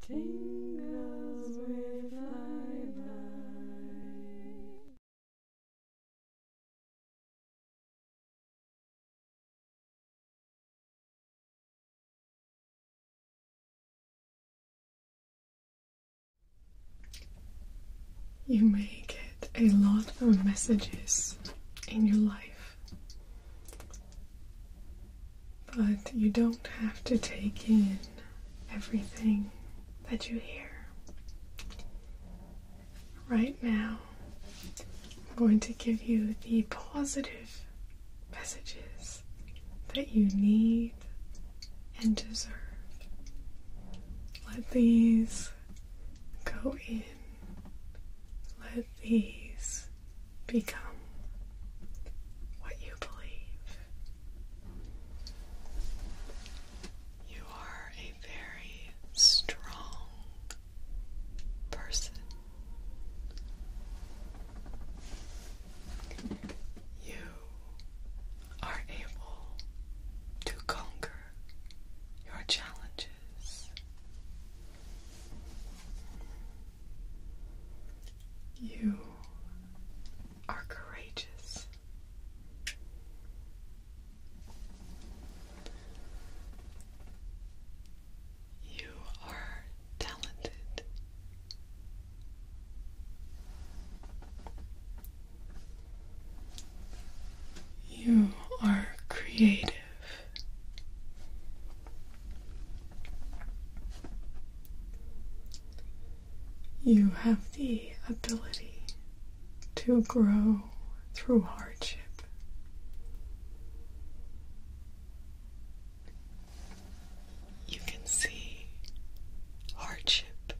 Tingles with You may get a lot of messages in your life but you don't have to take in everything that you hear. Right now, I'm going to give you the positive messages that you need and deserve. Let these go in. Let these become what you believe. You are a very strong person. You are able to conquer your challenges. You are courageous. You are talented. You are creative. You have the ability to grow through hardship. You can see hardship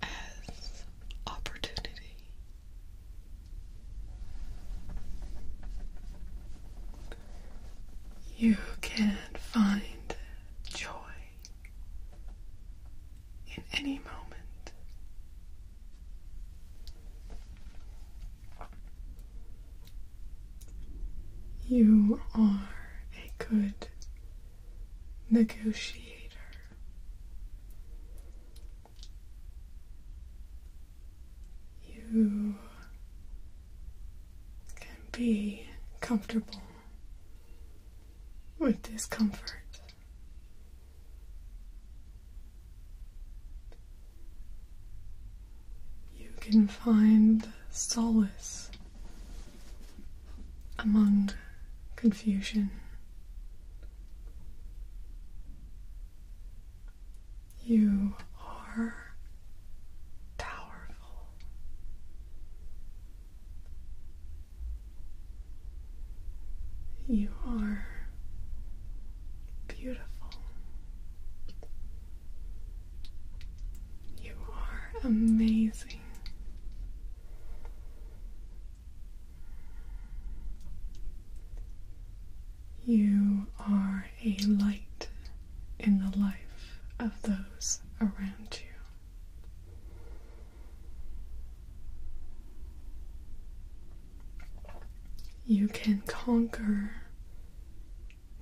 as opportunity. You can find joy in any moment. You are a good negotiator you can be comfortable with discomfort. You can find solace among confusion. You are powerful. You are beautiful. You are amazing. You are a light in the life of those around you. You can conquer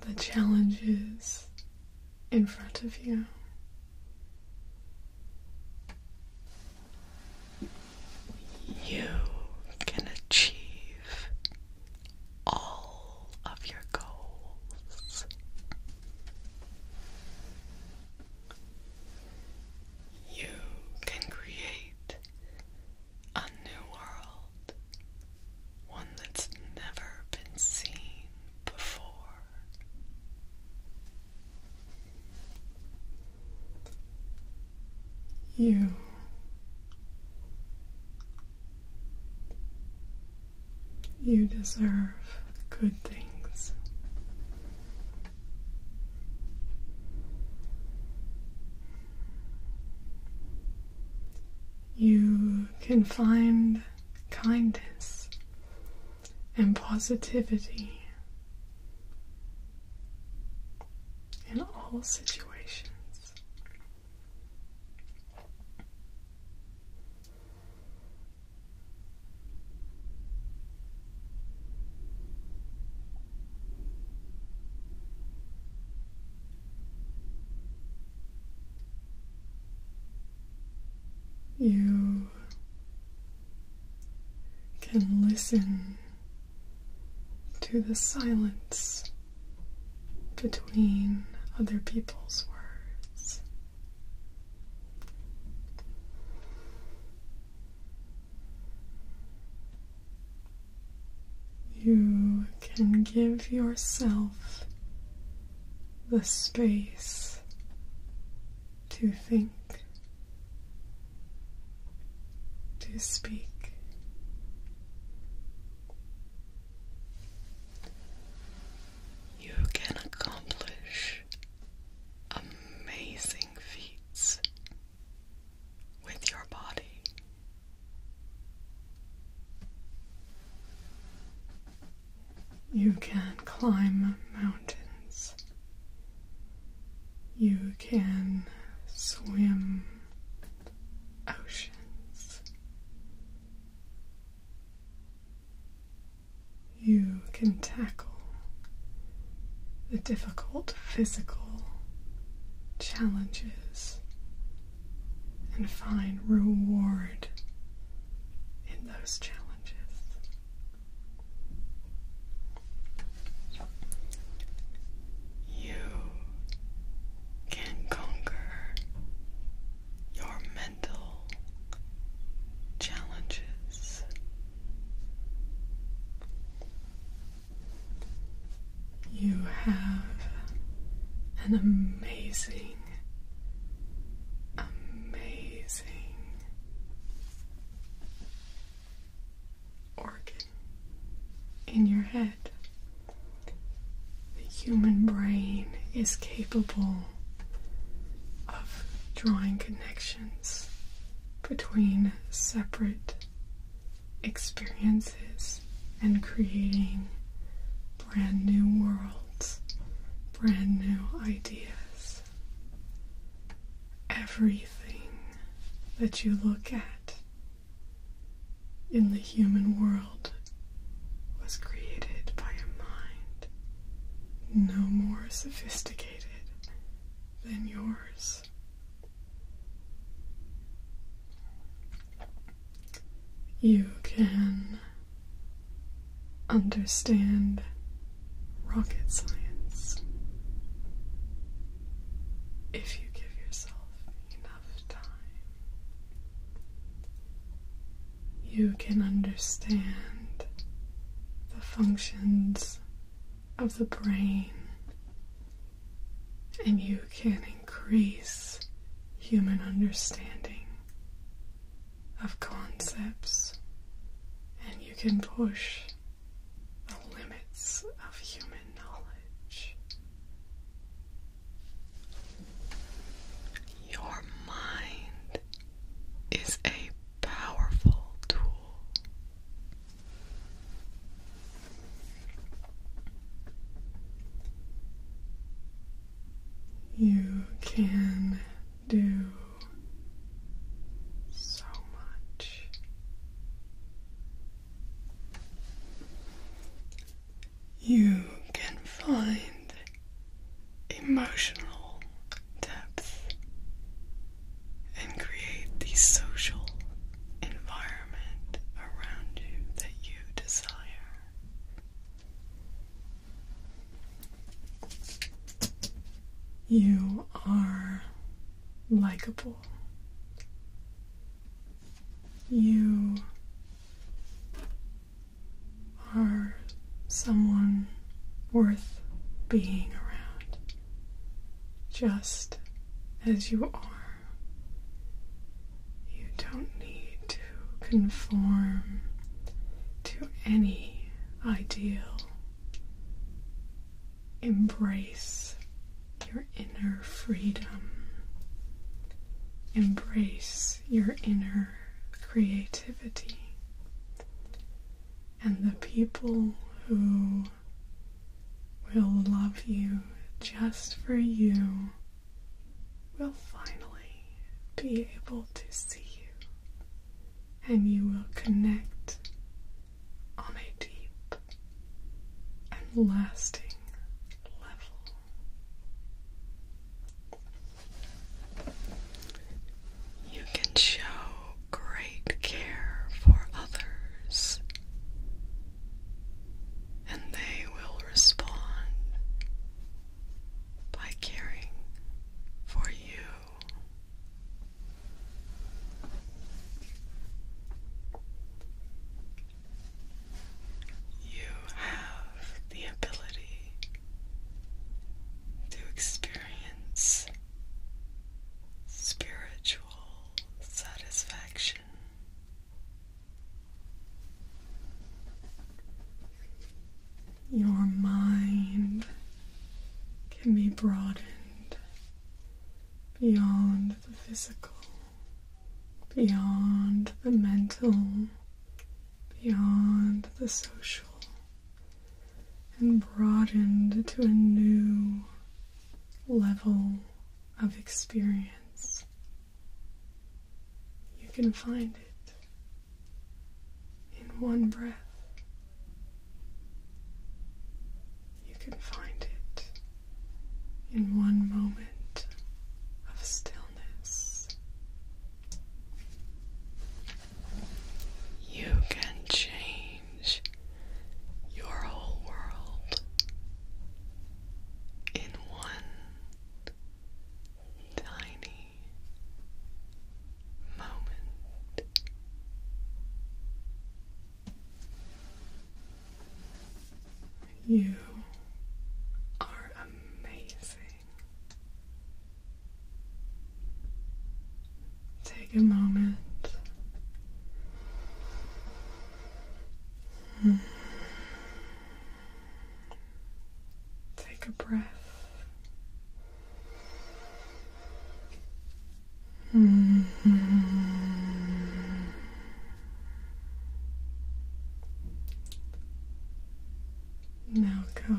the challenges in front of you. You can achieve all of your goals. You can create a new world, one that's never been seen before. You you deserve good things. You can find kindness and positivity in all situations. You can listen to the silence between other people's words. You can give yourself the space to think to speak. You can accomplish amazing feats with your body. You can climb mountains. You can swim oceans. You can tackle the difficult physical challenges and find reward in those challenges. You can conquer your mental challenges. You have an amazing, amazing organ in your head. The human brain is capable of drawing connections between separate experiences and creating brand new worlds, brand new ideas. Everything that you look at in the human world was created by a mind no more sophisticated than yours. You can understand rocket science if you give yourself enough time, you can understand the functions of the brain and you can increase human understanding of concepts and you can push the limits of human knowledge. Your mind is a powerful tool. You can do so much. You can find emotional depth and create the social environment around you that you desire. You are likable. You are someone worth being around, just as you are. You don't need to conform to any ideal. Embrace your inner freedom. Embrace your inner creativity. And the people who will love you just for you will finally be able to see you and you will connect on a deep and lasting level. You can show great care for others, and they will respond by caring for you. You have the ability to experience spiritual satisfaction. Your mind can be broadened beyond the physical, beyond the mental, beyond the social, and broadened to a new level of experience. You can find it in one breath. You can find it in one moment of stillness. You can change your whole world in one tiny moment. You are amazing. Take a moment. Take a breath. Mm Now go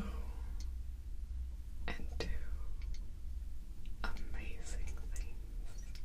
and do amazing things.